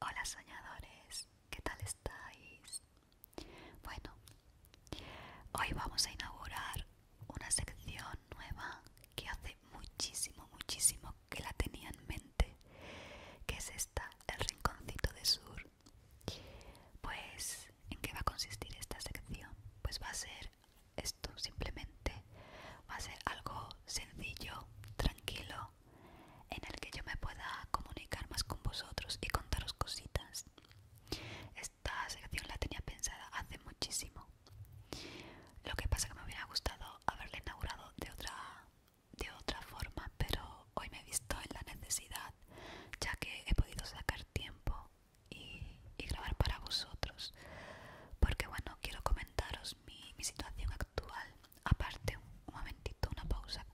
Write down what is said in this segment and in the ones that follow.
Hola soñadores, ¿qué tal estáis? Bueno, hoy vamos a inaugurar una sección nueva que hace muchísimo, muchísimo que la tenía en mente, que es esta, el rinconcito de sur. Pues, ¿en qué va a consistir esta sección? Pues va a ser esto, simplemente va a ser algo sencillo, tranquilo, en el que yo me pueda comunicar más con vosotros y contaros cositas. Esta sección la tenía pensada hace muchísimo. Lo que pasa que me hubiera gustado haberla inaugurado de otra, de otra forma, pero hoy me he visto en la necesidad, ya que he podido sacar tiempo y, grabar para vosotros. Porque bueno, quiero comentaros mi situación actual aparte un momentito una pausa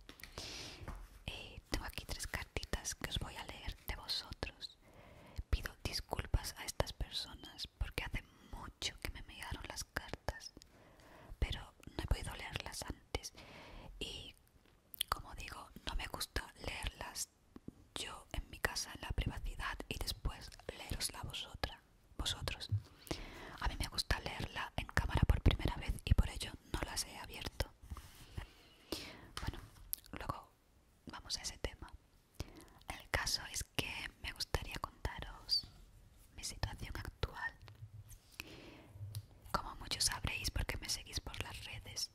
eh, tengo aquí tres cartitas que os voy a leer de vosotros pido disculpas a estas personas porque hace mucho que me llegaron las cartas pero no he podido leerlas antes y como digo no me gusta leerlas yo en mi casa en la privacidad y después leeros la vosotras vosotros. A mí me gusta leerla en cámara por primera vez y por ello no las he abierto. Bueno, luego vamos a ese tema. El caso es que me gustaría contaros mi situación actual. Como muchos sabréis porque me seguís por las redes.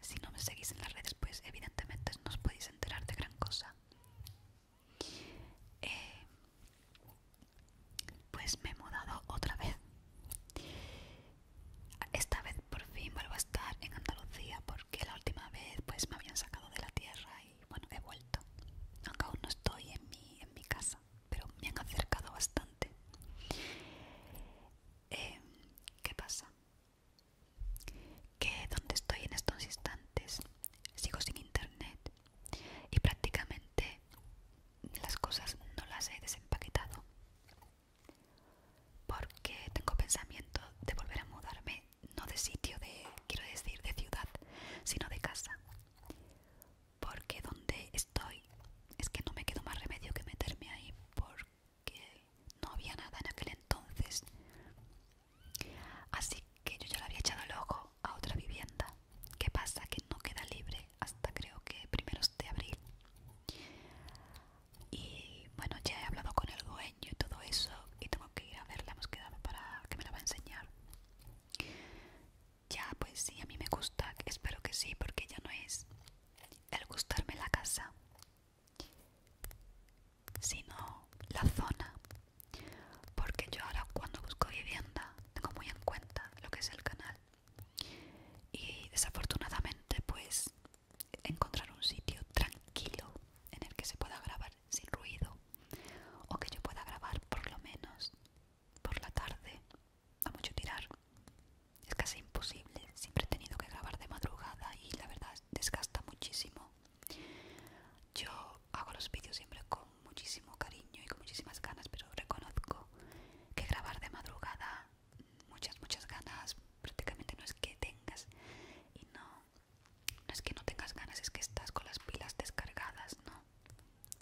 Si no me seguís en las redes, pues evidentemente no os podéis enterar de gran cosa. Eh, pues me he mudado otra vez esta vez por fin vuelvo a estar en Andalucía porque la última vez pues me habían sacado de la tierra y bueno he vuelto aunque aún no estoy en mi, en mi casa pero me han acercado bastante eh, ¿qué pasa? que donde estoy en estos instantes sigo sin internet y prácticamente las cosas no las he desempaquetado porque tengo pensamiento de volver a mudarme no de sitio de quiero decir de ciudad sino de casa porque donde estoy es que no me quedo más remedio que meterme ahí porque no había nada en aquel entonces así que yo ya la había echado el a otra vivienda. ¿Qué pasa? Que no queda libre hasta creo que primeros de abril. Y bueno, ya he hablado con el dueño y todo eso y tengo que ir a verla, hemos quedado para que me la va a enseñar. Ya, pues sí, a mí me gusta, espero que sí, porque ya no es el gustarme la casa, sino la zona porque yo ahora cuando busco vivienda tengo muy en cuenta lo que es el canal y desafortunadamente pues encontrar un sitio tranquilo en el que se pueda grabar sin ruido o que yo pueda grabar por lo menos por la tarde a mucho tirar es casi imposible siempre he tenido que grabar de madrugada y la verdad desgasta muchísimo yo hago los vídeos siempre con muchísimo cariño y con muchísimas ganas, pero reconozco que grabar de madrugada muchas, muchas ganas prácticamente no es que tengas y no, no es que no tengas ganas, es que estás con las pilas descargadas, ¿no?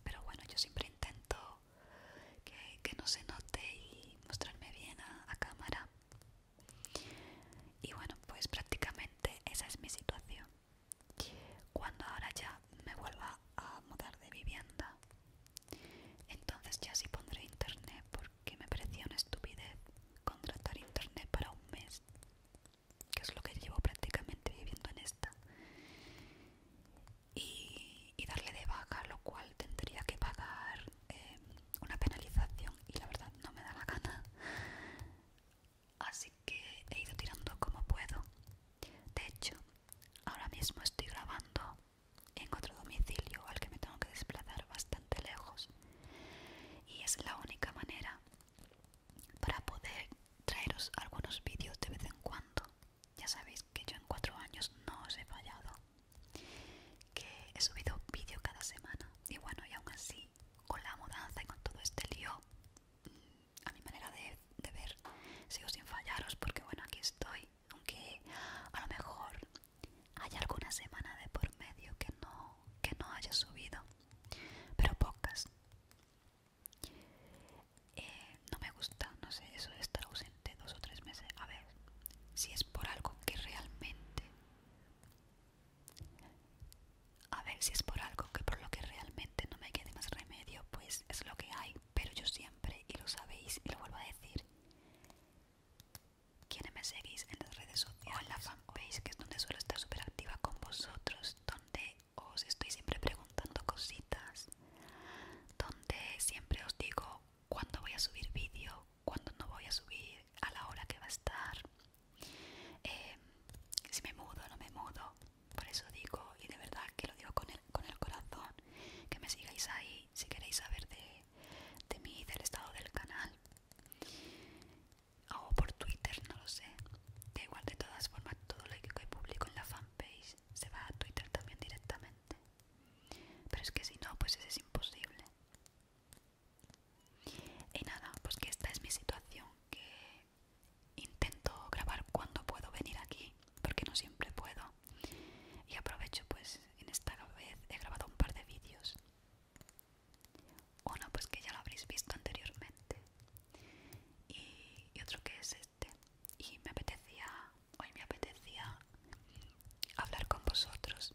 Pero bueno, yo siempre intento que, no se note y mostrarme bien a, a cámara. Y bueno, pues prácticamente esa es mi situación. Cuando ahora ya me vuelva a mudar de vivienda, entonces ya sí pondré internet porque me parecía una estupidez contratar internet para un mes, que es lo que llevo prácticamente viviendo en esta, y, darle de vaca, lo cual tendría que pagar eh, una penalización y la verdad no me da la gana así que he ido tirando como puedo. De hecho, ahora mismo estoy grabando en otro domicilio al que me tengo que desplazar bastante lejos y es la única manera para poder traeros algunos vídeos de vez en cuando. Ya sabéis que yo en cuatro años no os he fallado, que he subido vídeo cada semana y bueno, y aún así, con la mudanza y con todo este lío, a mi manera de, ver sigo sin fallaros porque bueno aquí estoy aunque a lo mejor hay alguna semana de por medio que no que no haya subido pero pocas eh, no me gusta no sé eso de estar ausente dos o tres meses a ver si es por algo que realmente a ver si es por algo que por lo que realmente no me quede más remedio, pues es lo que hay, pero yo siempre, y lo sabéis y lo vuelvo a decir, quienes me seguís en las redes sociales o en la fanpage, que es donde suelo estar súper activa con vosotros, donde os estoy siempre preguntando cositas, donde siempre os digo cuándo voy a subir vídeo, cuándo no voy a subir, a la hora que va a estar, eh, si me mudo no me mudo por eso digo y de verdad que lo digo con el, corazón que me sigáis ahí si queréis saber de, de mí del estado del canal o por Twitter no lo sé De igual de todas formas todo lo que publico en la fanpage se va a Twitter también directamente pero es que si no pues eso es imposible y nada pues que esta es mi situación que intento grabar cuando puedo venir aquí porque no siempre puedo y aprovecho pues en esta vez he grabado un par de vídeos uno pues que ya lo habréis visto anteriormente y, y otro que es este y me apetecía hoy me apetecía hablar con vosotros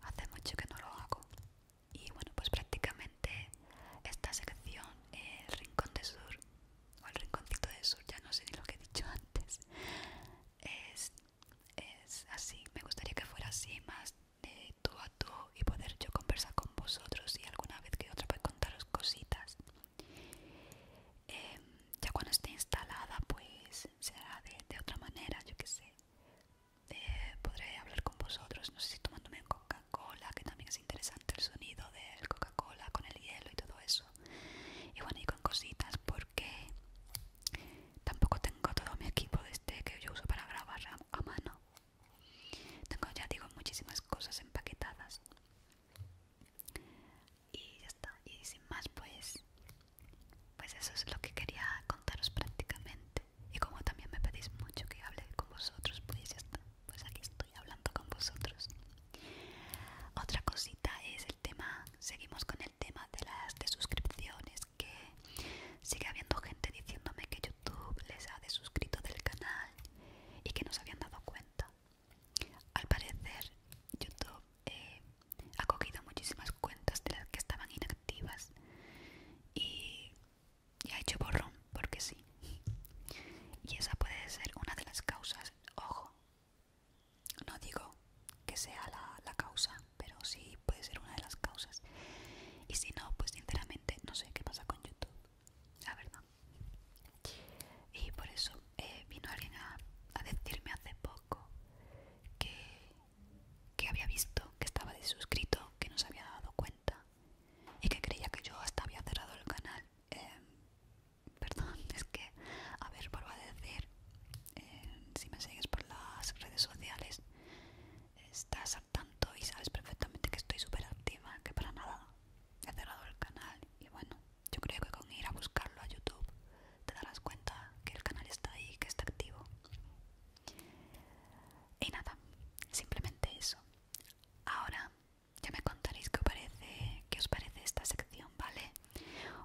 hace mucho que no lo hago y bueno pues prácticamente esta sección el rincón de sur o el rinconcito de sur ya no sé ni lo que he dicho antes es, así me gustaría que fuera así más de tú a tú y poder yo conversar con vosotros y alguna vez que otra pues contaros cositas em, ya cuando esté instalada pues será de, de otra manera yo qué sé eh, podré hablar con vosotros, no sé si tomándome un Coca-Cola, que también es interesante el sonido del Coca-Cola con el hielo y todo eso. Y bueno, y con cositas porque tampoco tengo todo mi equipo de este que yo uso para grabar a, mano. Tengo ya digo muchísimas cosas empaquetadas. Y ya está, y sin más pues pues eso es lo que quería contaros prácticamente y como también me pedís mucho que hable con vosotros pues ya pues aquí estoy hablando con vosotros otra cosita es el tema seguimos con el tema de las desuscripciones que sigue habiendo gente diciéndome que youtube les ha desuscrito del canal y que no se habían dado cuenta al parecer youtube eh, ha cogido muchísimas cuentas de las que estaban inactivas y y ha hecho borrón porque sí. Y esa puede ser una de las causas. Ojo, no digo que sea la, causa, pero sí puede ser una de las causas. Y si no, pues sinceramente no sé qué pasa con YouTube, la verdad. Y por eso eh, vino alguien a, decirme hace poco que, que había visto que estaba desuscrito, que no se había dado cuenta y que creía que yo hasta había cerrado el canal. Em, perdón, es que, a ver, vuelvo a decir, em, si me sigues por las redes sociales, estás al tanto y sabes perfectamente que estoy súper activa, que para nada he cerrado el canal y bueno, yo creo que con ir a buscarlo a YouTube te darás cuenta que el canal está ahí, que está activo. Y nada, simplemente eso. Ahora ya me contaréis qué os parece, qué os parece esta sección, ¿vale?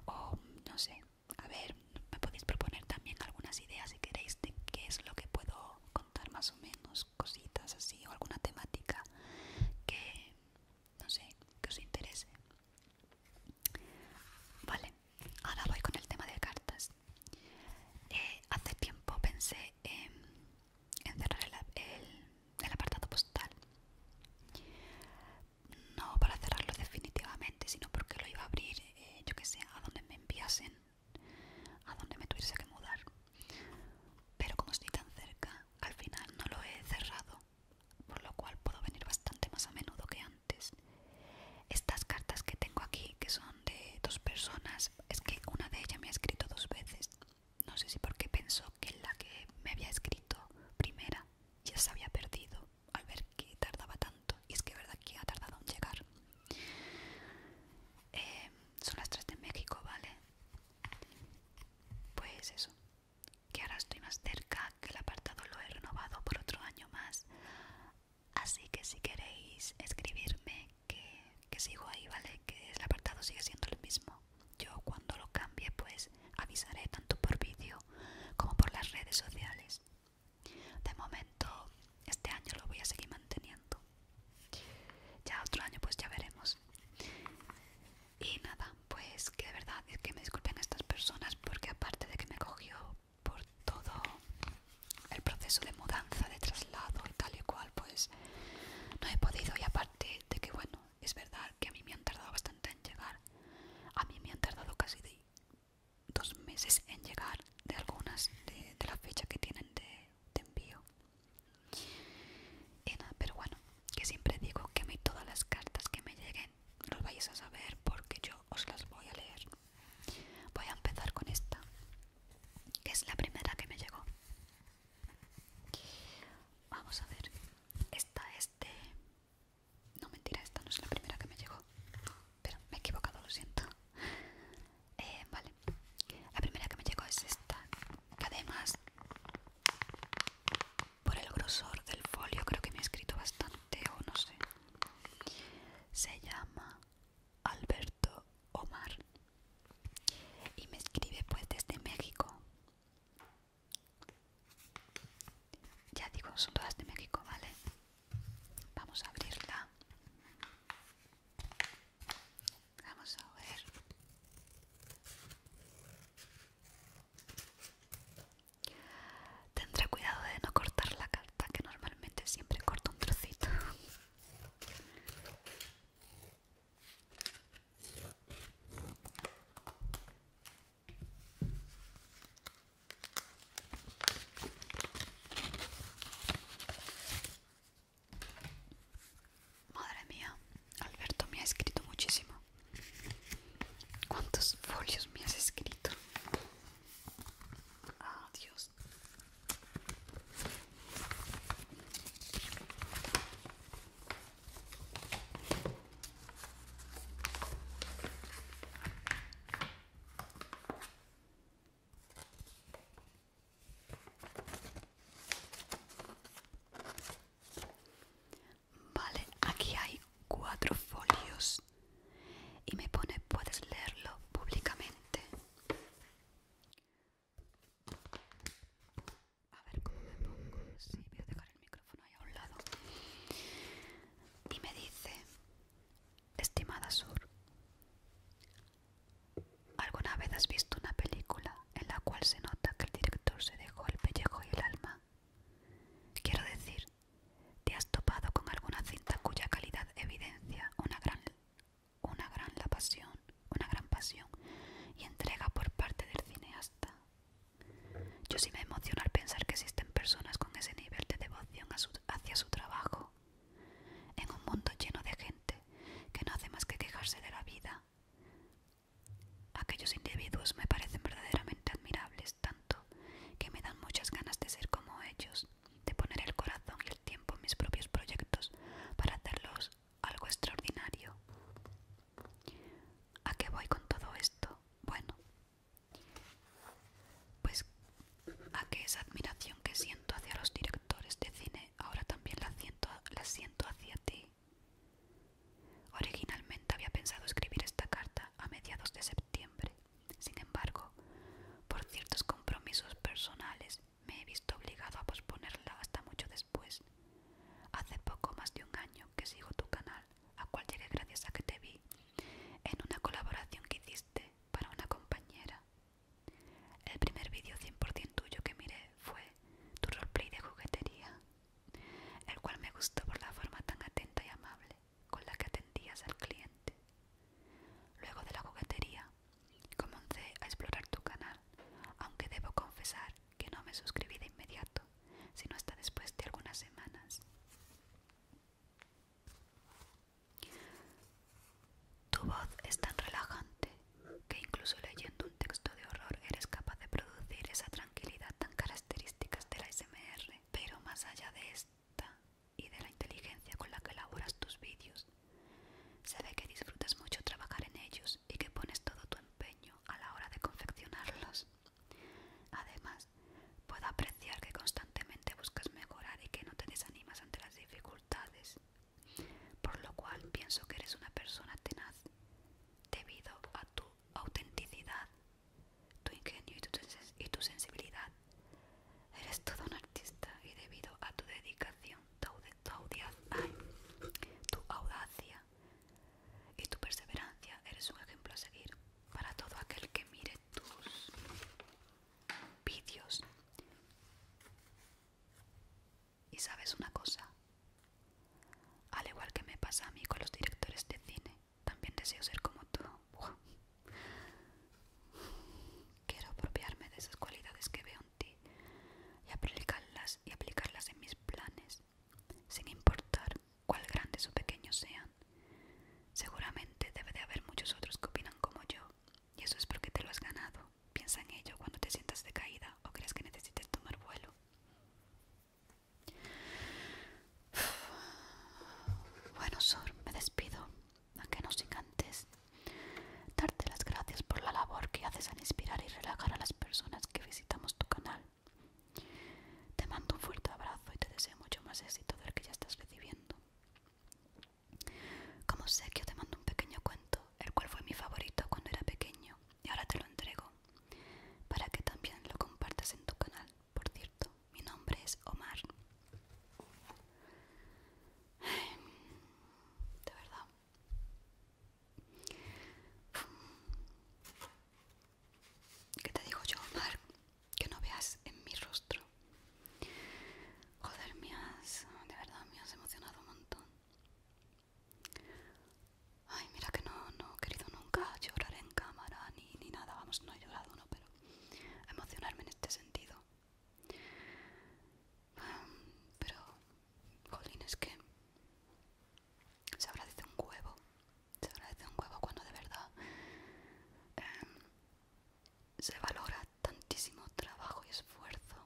O no sé, a ver, me podéis proponer también algunas ideas si queréis de qué es lo que puedo contar más o menos, cositas así, o alguna temática que no sé, que os interese. Vale, ahora voy con el tema de cartas. Eh, hace tiempo pensé en, cerrar el, apartado postal. No para cerrarlo definitivamente, sino porque lo iba a abrir, eh, yo que sé, a donde me enviasen, a donde me tuviese que mudar. Pero como estoy tan cerca, al final no lo he cerrado, por lo cual puedo venir bastante más a menudo que antes. Estas cartas que tengo aquí, que son de dos personas. Es que una de ellas me ha escrito dos veces. No sé si porque pensó que la que me había escrito primera ya se había perdido al ver que tardaba tanto. Y es que verdad que ha tardado en llegar. Eh, son las tres de México, ¿vale? Pues eso. Que ahora estoy más cerca, que el apartado lo he renovado por otro año más. Así que si queréis escribirme que, sigo ahí, ¿vale? Que el apartado sigue siendo el mismo. Yo cuando lo cambie pues avisaré tanto por vídeo como por las redes sociales. De momento este año lo voy a seguir manteniendo. Ya otro año pues ya veremos. Y nada, pues que de verdad es que me disculpen estas personas porque aparte de que me cogió por todo el proceso de mudanza, de traslado tal y cual, pues no he podido. Y aparte de que, bueno, es verdad que a mí me han tardado bastante en llegar. A mí me han tardado casi dos meses en llegar de algunas de, las la que tienen de, envío. Y nada, pero bueno, que siempre digo que a mí todas las cartas que me lleguen los vais a saber porque yo os las voy a leer. Voy a empezar con esta es la primera que me llegó. Vamos a ver, esta este No mentira, esta no es la primera que me llegó. Pero me he equivocado, lo siento. Eh, vale, la primera que me llegó es esta. Que además, por el grosor del folio, creo que me ha escrito bastante, o no sé. Se llama Alberto Omar y me escribe pues desde México. Ya digo, son todas de México, ¿vale? Vamos a abrirla. Vamos a ver. Tendré cuidado de no cortar la carta, que normalmente siempre corto un trocito. Madre mía, Alberto me ha escrito muchísimo. ¿Cuántos folios me has escrito? Adiós. Ah, Vale, aquí hay cuatro folios y me pone puedes leerlo públicamente. A ver dejar el micrófono ahí un Y me dice, estimada Sur, ¿alguna vez has visto una película en la cual se nota que el director se dejó el pellejo y el alma? Quiero decir, ¿te has topado con alguna cinta cuya calidad evidencia una gran una gran la pasión, una gran pasión y entrega por parte del cineasta. Yo sí me emociono al pensar que existen personas con ese nivel de devoción hacia su trabajo, en un mundo lleno de gente que no hace más que quejarse de la vida. Aquellos individuos me parecen verdaderamente admirables, tanto que me dan muchas ganas de ser como ellos, de poner el corazón y el tiempo en mis propios proyectos para hacerlos algo extraordinario. ¿A qué voy con todo esto? Bueno, pues a que esa admiración que siento hacia los directores de cine ahora también la siento, la siento hacia ti. Originalmente había pensado escribir esta carta a mediados de septiembre, sin embargo, por ciertos compromisos personales me he visto obligado a posponerla hasta mucho después. Hace poco más de un año que sigo tu canal, a cual llegué gracias a que te vi, en una colaboración que hiciste para una compañera. El primer vídeo 100% tuyo que miré fue tu roleplay de juguetería, el cual me gustó por la forma tan atenta y amable con la que atendías al cliente. Luego de la juguetería, comencé a explorar tu canal, aunque debo confesar que no me suscribí de inmediato, sino hasta después de algunas semanas. Tu voz es tan relajante que incluso leyendo un texto de horror eres capaz de producir esa tranquilidad tan característica de la SMR, pero más allá de esta, y de la inteligencia con la que elaboras tus vídeos. Se ve que disfrutas mucho trabajar en ellos y que pones todo tu empeño a la hora de confeccionarlos. Además, puedo apreciar que constantemente buscas mejorar y que no te desanimas ante las dificultades, por lo cual pienso que eres una persona tenaz debido a tu autenticidad, tu ingenio y tu, sensibilidad Eres todo un artista y debido a tu dedicación, tu, audacia y tu perseverancia, eres un ejemplo a seguir para todo aquel que mire tus vídeos. Y sabes una cosa, al igual que me pasa a mí con los directores de cine, también deseo ser como tú. Quiero apropiarme de esas cualidades que veo en ti y aplicarlas, y aplicarlas en mis planes, sin importar cuál grandes o pequeños sean. Seguramente debe de haber muchos otros que opinan como yo, y eso es porque te lo has ganado. Piensa en ello cuando te sientas decaída o creas que necesites tomar vuelo. Bueno, Sor, me despido a que nos encantes. Darte las gracias por la labor que haces al inspirar y relajar a las personas que visitamos tu canal. Te mando un fuerte abrazo y te deseo mucho más éxito del que ya estás recibiendo. Como sé que yo te mando un pequeño cuento, el cual fue mi favorito cuando era pequeño, y ahora te lo entrego, para que también lo compartas en tu canal por cierto, mi nombre es Omar. De verdad. ¿Qué te digo yo, Omar? Que no veas en mi rostro. Joder, me has, de verdad me has emocionado un montón. Ay, mira que no, no he querido nunca llorar en cámara ni, ni nada. Vamos, no he llorado, no, pero emocionarme en este sentido Em, pero, jolín, es que se agradece un huevo. Se agradece un huevo cuando de verdad em, se valora tantísimo trabajo y esfuerzo.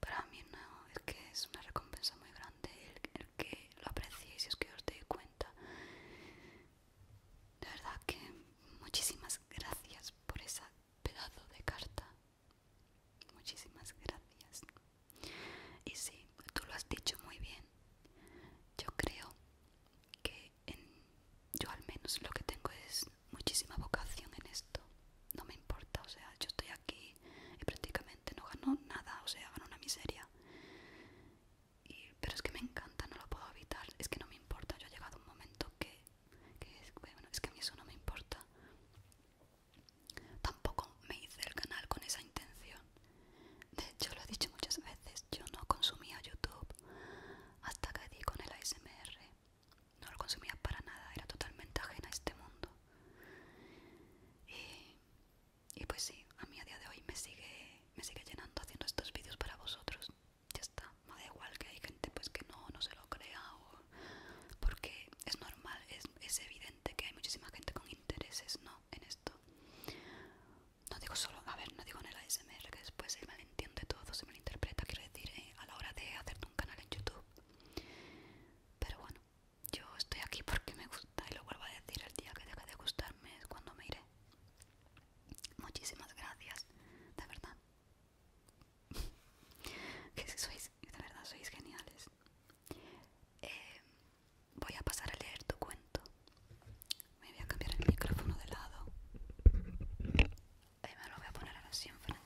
Para mí no, es que es una recompensa muy grande el, que lo apreciéis y es que os dé cuenta de verdad que muchísimas gracias por ese pedazo de carta. Muchísimas gracias. Y sí, tú lo has dicho muy bien. Yo creo que yo al menos lo que tengo es muchísima vocación en esto. No me importa, o sea, yo estoy aquí y prácticamente no gano nada, o sea, gano una miseria pero es que me encanta, no lo puedo evitar, es que no me importa, yo he llegado un momento que, es, bueno, es que a mí eso no me importa. Tampoco me hice el canal con esa intención. De hecho, lo he dicho muchas veces, yo no consumía YouTube hasta que di con el ASMR. No lo consumía para nada, era totalmente ajena a este mundo. Y y pues sí, a mí a día de hoy me sigue, me sigue llenando haciendo estos vídeos para vosotros. Ya está, me da igual que hay gente pues que no, no se lo crea o... Porque es normal, es, evidente que hay muchísima gente con intereses, ¿no? En esto. No digo solo, a ver, no digo en el ASMR que después se entiende todo, se malinterpreta, quiero decir, eh, a la hora de hacerte un canal en YouTube. Pero bueno, yo estoy aquí porque me gusta y lo vuelvo a decir, el día que deje de gustarme es cuando me iré. Muchísimas gracias, de verdad. que sois, de verdad, sois geniales. Eh, voy a pasar a leer tu cuento. Me voy a cambiar el micrófono de lado. Y eh, me lo voy a poner así enfrente.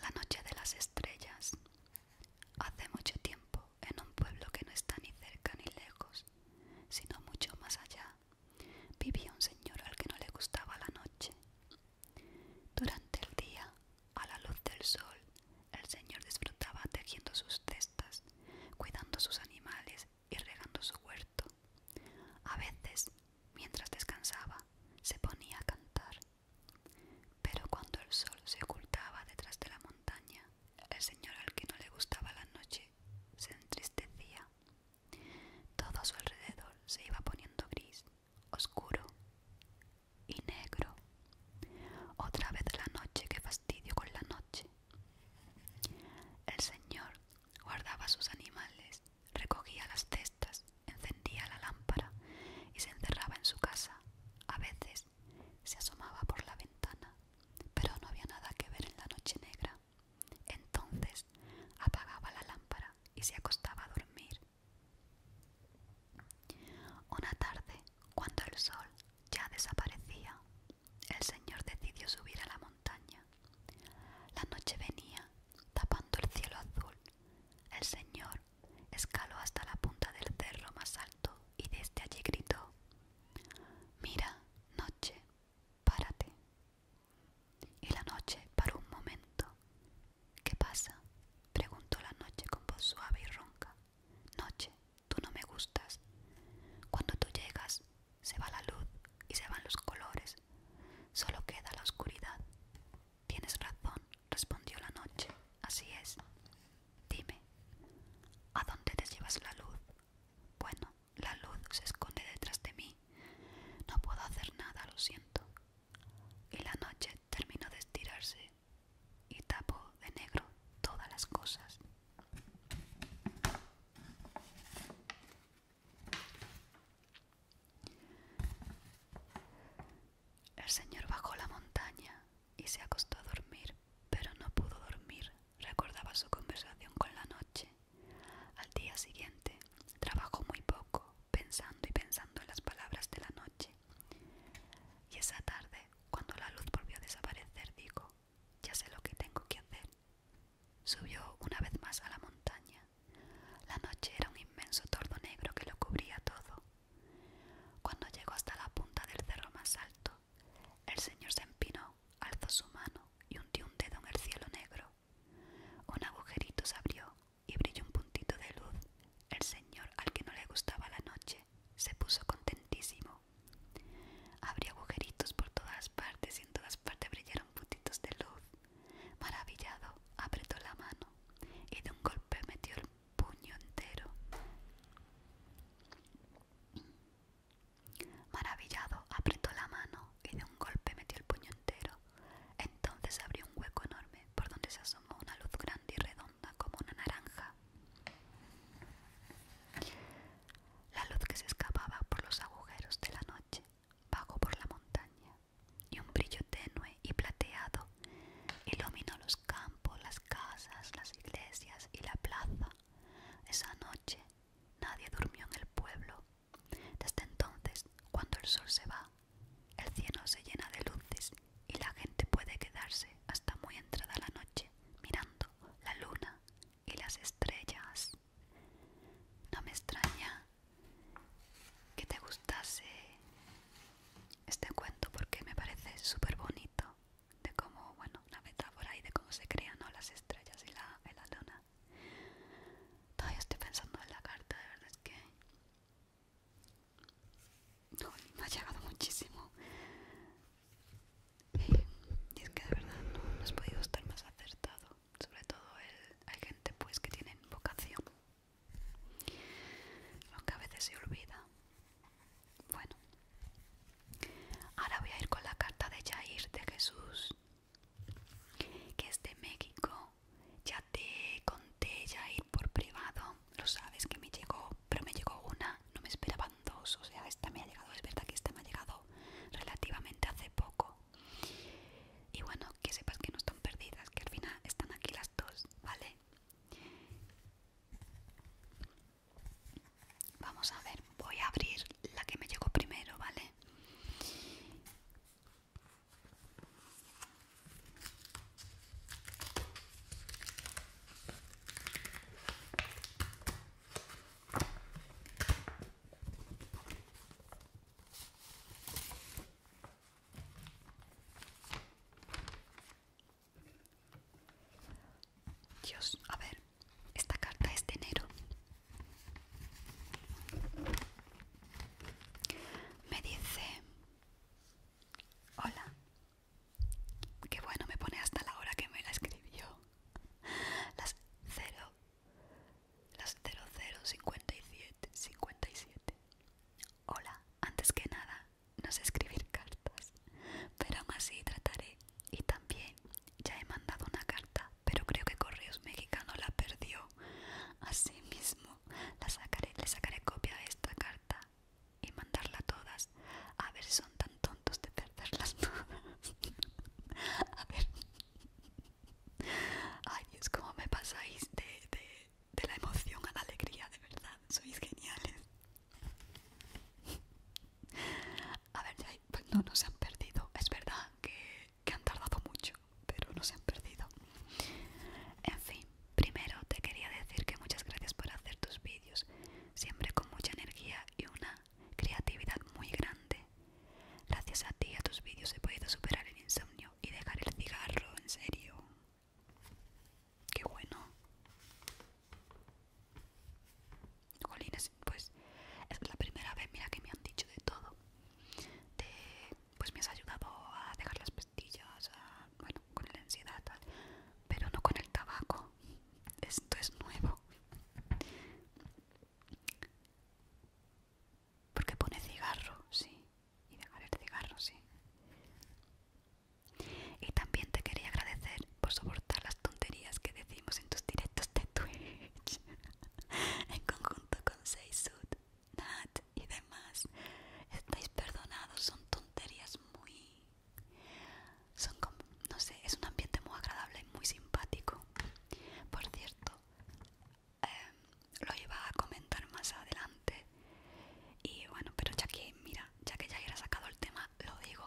La noche de las estrellas. Hace mucho tiempo, en un pueblo que no está ni cerca ni lejos, sino mucho más allá, vivía un señor al que no le gustaba la noche. Durante el día, a la luz del sol, el señor disfrutaba tejiendo sus cestas, cuidando sus animales y regando su huerto. A veces, mientras descansaba, se ponía a cantar. Pero cuando el sol se ocultaba detrás de la montaña, el señor al que no le gustaba la noche se entristecía. Todo a su alrededor se iba poniendo gris, oscuro y negro. Otra vez la noche, qué fastidio con la noche. El señor guardaba sus animales recogía las cestas, encendía la lámpara y se encerraba en su casa. A veces se asomaba por la ventana, pero no había nada que ver en la noche negra. Entonces apagaba la lámpara y se acostaba a dormir. Una tarde, cuando el sol ya desaparecía, el señor decidió subir a la montaña. La noche venía, tapando el cielo azul el señor escaló hasta la punta del cerro más alto y desde allí gritó Mira, noche, párate. Y la noche paró un momento. ¿Qué pasa? preguntó la noche con voz suave y ronca. Noche, tú no me gustas. Cuando tú llegas, se va la luz y se van los colores. Solo queda la oscuridad. Tienes razón, respondió la noche. Así es. Dime, ¿a dónde te llevas la luz? Bueno, la luz se esconde detrás de mí. No puedo hacer nada, lo siento. Y la noche terminó de estirarse y tapó de negro todas las cosas. El señor bajó la montaña y se acostó a dormir, pero no pudo dormir. Recordaba su conversación con la noche. Al día siguiente trabajó muy poco, pensando y pensando en las palabras de la noche. Y esa tarde, cuando la luz volvió a desaparecer, dijo, ya sé lo que tengo que hacer. Subió una vez más a la montaña la noche era un inmenso tordo negro que lo cubría todo. Cuando llegó hasta la punta del cerro más alto, el señor se empinó, alzó su mano y hundió un dedo en el cielo negro. Un agujerito se abrió y brilló un puntito de luz. El señor, al que no le gustaba la noche, se puso contentísimo. Abrió agujeritos por todas partes y en todas partes brillaron puntitos de luz. Maravillado, apretó la mano y de un golpe metió el puño entero. Maravillado, apretó la mano y de un golpe metió el puño entero. Entonces abrió un hueco enorme por donde se asomó una luz grande y redonda como una naranja. La luz que se escapaba por los agujeros de la noche bajó por la montaña y un brillo tenue y plateado iluminó los campos, las casas, las iglesias y la plaza. Esa noche nadie durmió en el pueblo. Desde entonces, cuando el sol se va, el cielo se llena de luces y la gente puede quedarse hasta muy entrada la noche mirando la luna y las estrellas. No me extraña que te gustase este cuento porque me parece súper bonito de cómo, bueno, una metáfora y de cómo se crean las estrellas y la, la luna. Todavía estoy pensando en la carta, de verdad es que me ha llegado muchísimo. Y es que de verdad no, has podido estar más acertado. Sobre todo hay gente pues que tiene vocación lo a veces se olvida. Bueno, ahora voy a ir con la carta de Jair de Jesús, que es de México. Ya te conté Jair por privado, lo sabes que me llegó, pero me llegó una, no me esperaban dos, o sea, esta me ha llegado, es verdad que esta me ha llegado relativamente hace poco, y bueno, que sepas que no están perdidas, que al final están aquí las dos, ¿vale? Vamos a ver, voy a abrir la que me llegó primero, ¿vale? Dios, a ver, esta carta es de enero. Me dice, hola, qué bueno me pone hasta la hora que me la escribió. Las cero las 0057 57. Hola, antes que nada, no sé escribir cartas, pero aún así trataré. Y también ya he mandado una carta, pero creo que Correos Mexicano la perdió. Así mismo, sacaré, le sacaré copia a esta carta y mandarla todas. A ver, son tan tontos de perderlas todas. a ver, Ay es como me pasáis de, la emoción a la alegría, de verdad, sois geniales. A ver, pues no, nos han perdido, es verdad que, que han tardado mucho, pero no se han perdido. En fin, primero te quería decir que muchas gracias por hacer tus vídeos, siempre con mucha energía y una creatividad muy grande. Gracias a ti y a tus vídeos he podido superar el insomnio y dejar el cigarro, en serio. Qué bueno. Colines pues es la primera vez, mira que me han dicho de todo. pues me has ayudado a dejar las pastillas, bueno, con la ansiedad, Pero no con el tabaco. Esto es nuevo. Porque pone cigarro, sí. Y dejar el cigarro, sí. Y también te quería agradecer por soportar las tonterías que decimos en tus directos de Twitch. en conjunto con Seisud, Nat y demás. Estáis perdonados, son tonterías muy... Son como, no sé, es un ambiente muy agradable y muy simpático. Por cierto, lo iba a comentar más adelante y bueno pero ya que mira ya que ya he sacado el tema lo digo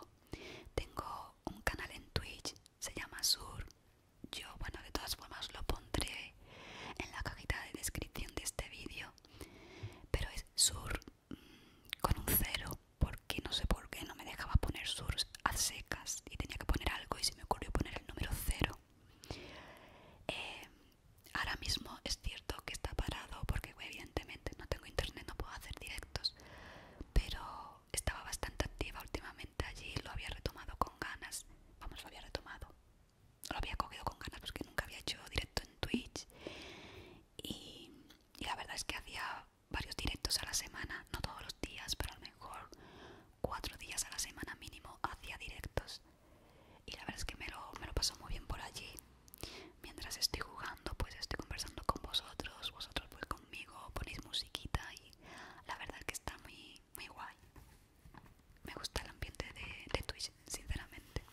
tengo un canal en twitch se llama sur yo bueno de todas formas lo pondré en la cajita de descripción de este vídeo pero es sur mm, con un cero porque no sé por qué no me dejaba poner sur a secas y tenía que poner algo y se me ocurrió poner el número cero eh, ahora mismo es cierto que está parado porque evidentemente no tengo internet, no puedo hacer directos, pero estaba bastante activa últimamente allí, lo había retomado con ganas, vamos, lo había retomado, lo había cogido con ganas porque nunca había hecho directo en Twitch y, y la verdad es que hacía varios directos a la semana, no todos los días, pero a lo mejor cuatro días a la semana mínimo hacia directos. Y la verdad es que me lo, me paso muy bien por allí. Mientras estoy jugando, pues estoy conversando con vosotros, vosotros pues conmigo, ponéis musiquita y la verdad es que está muy, muy guay. Me gusta el ambiente de, de Twitch, sinceramente.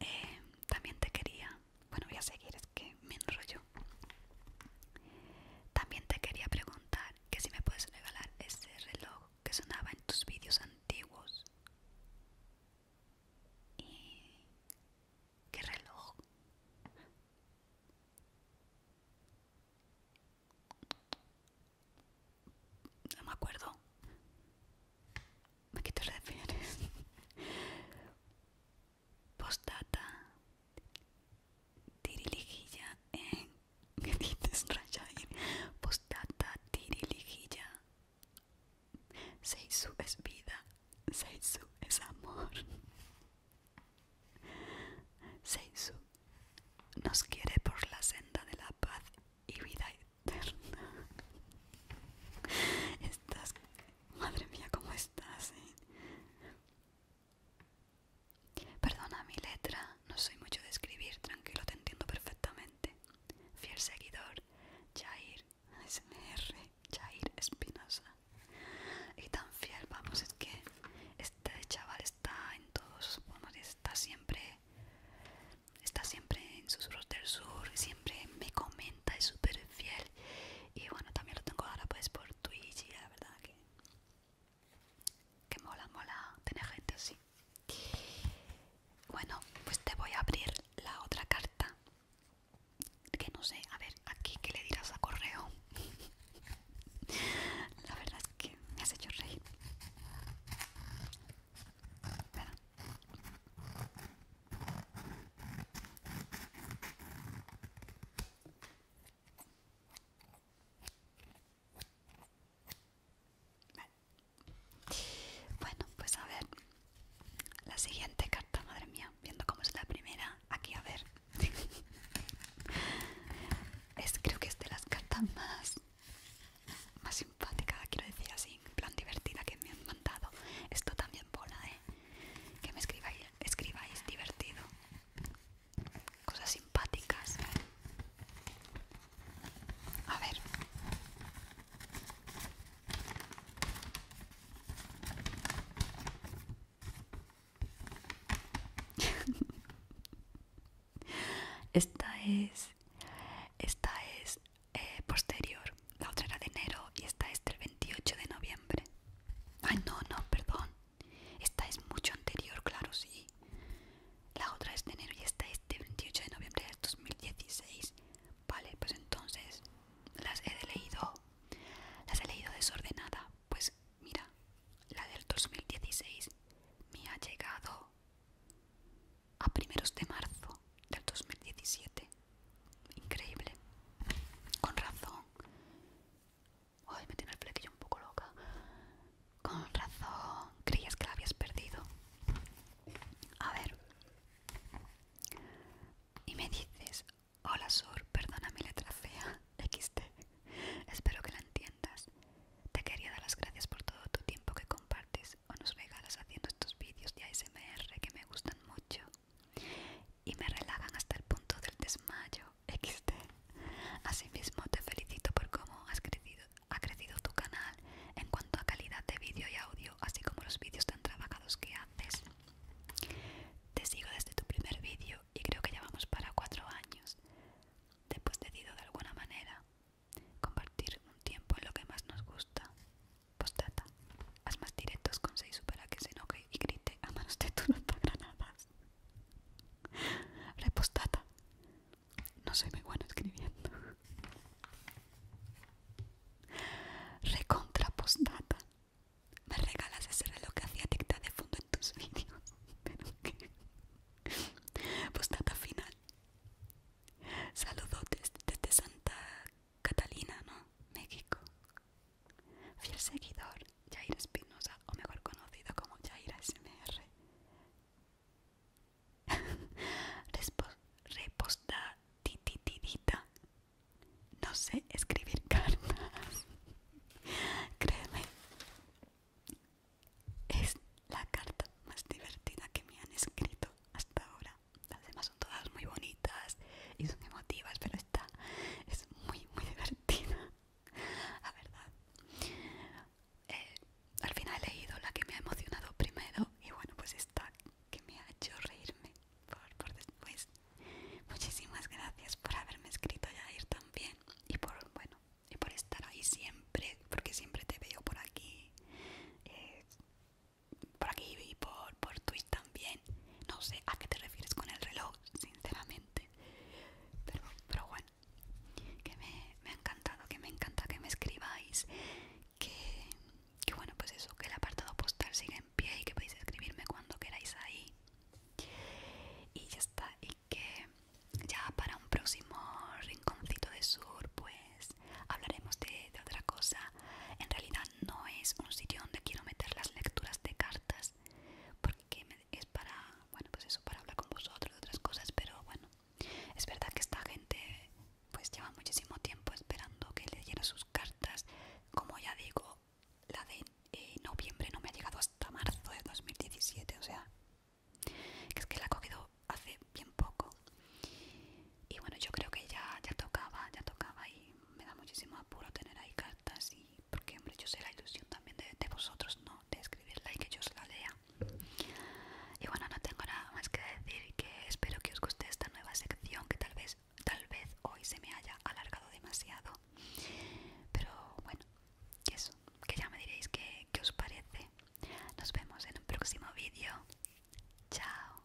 Eh, también te quería... Bueno, voy a seguir, es que me enrollo. También te quería preguntar que si me puedes regalar ese reloj que sonaba en tus vídeos antiguos. ¿Y qué reloj? No me acuerdo. me quito te refieres? Postdata, tirilijilla en que dices, Rajair? Postata tirilijilla. Seisu es vida, Seisu es amor. Seisu nos quiere por la senda de la paz y vida eterna. Estás, madre mía, cómo estás. Eh? Perdona mi letra, no soy mucho de escribir, tranquilo, te entiendo perfectamente. Fiel seguidor, Jair S-M-R, Jair Espinosa. Y tan fiel, vamos, es que este chaval está en todos, vamos, está siempre, está siempre en Susurros del Sur, siempre me comenta, es súper fiel. Y bueno, también lo tengo ahora pues por Twitch la verdad que que mola, mola tener gente así. Bueno, pues te voy a abrir la otra carta. Que no sé, a ver, aquí que le dirás a correo. la verdad es que me has hecho reír. Bueno, pues a ver. La siguiente carta, madre mía, viendo cómo es la primera, aquí a ver. es creo que es de las cartas más más simpática, quiero decir así, en plan divertida que me han mandado. Esto también bola, eh. Que me escribáis, escribáis divertido cosas simpáticas. A ver. Esta es esta es eh, posterior, la otra era de enero y esta es del 28 de noviembre. Ay, no, no, perdón. Esta es mucho anterior, claro, sí. La otra es de enero y esta es de 28 de noviembre del 2016. Vale, pues entonces las he leído, las he leído desordenada. Pues mira, la del 2016 me ha llegado a primeros de marzo del 2017. Increíble. Con razón. Ay, me tiene el flequillo un poco loca. Con razón, creías que la habías perdido. A ver. Y me dices, hola Sur, perdona mi letra fea, XT. Espero que la entiendas. Te quería dar las gracias por todo tu tiempo que compartes o nos regalas haciendo estos vídeos de ASMR que me gustan mucho y me relajan hasta el punto del desmayo existe. Asimismo, te felicito por cómo has ha crecido tu canal en cuanto a calidad de vídeo y audio, así como los vídeos tan trabajados que haces. Te sigo desde tu primer vídeo y creo que ya vamos para cuatro años. Te he decidido de alguna manera compartir un tiempo en lo que más nos gusta. Postdata. Haz más directos con 6 para que se enoje y grite a manos de tus granadas. Repostata. No soy muy bueno escribiendo. Recontrapostata. Me regalas ese reloj que hacía tic de fondo en tus vídeos. ¿Pero Postata final. Saludos desde Santa Catalina, ¿no? México. Fiel seguidor, Jair Espinosa, o mejor conocido como Jair SMR reposta tititidita. No sé escribir cartas. Créeme, es la carta más divertida que me han escrito hasta ahora. Las demás son todas muy bonitas y son emotivas, pero esta es muy, muy divertida la verdad eh, al final he leído la que me ha emocionado primero y bueno pues esta que me ha hecho reírme por, después muchísimas gracias por haberme escrito Jair también y por bueno y por estar ahí siempre porque siempre te veo por aquí eh, por aquí y por, por Twitch también no sé a qué te refieres con el reloj, sinceramente. Pero, bueno, que me, ha encantado, que me encanta que me escribáis. Que, bueno, pues eso, que el apartado postal sigue en pie y que podéis escribirme cuando queráis ahí. Y ya está, y que ya para un próximo rinconcito de sur, pues hablaremos de, de otra cosa. En realidad no es un sitio donde quiero meter las lecturas de cartas porque es para, bueno, pues eso, para hablar con vosotros de otras cosas, pero bueno, es verdad que esta gente pues lleva muchísimo tiempo esperando que le leyera sus cartas, como ya digo, la de eh, noviembre no me ha llegado hasta marzo de 2017, o sea, es que la ha cogido hace bien poco. Y bueno, yo creo que ya, ya tocaba, ya tocaba y me da muchísimo apuro tener ahí cartas porque hombre yo sé la ilusión también de, vosotros no de escribirla y que yo os la lea y bueno no tengo nada más que decir que espero que os guste esta nueva sección que tal vez tal vez hoy se me haya alargado demasiado pero bueno eso que ya me diréis que os parece nos vemos en un próximo vídeo chao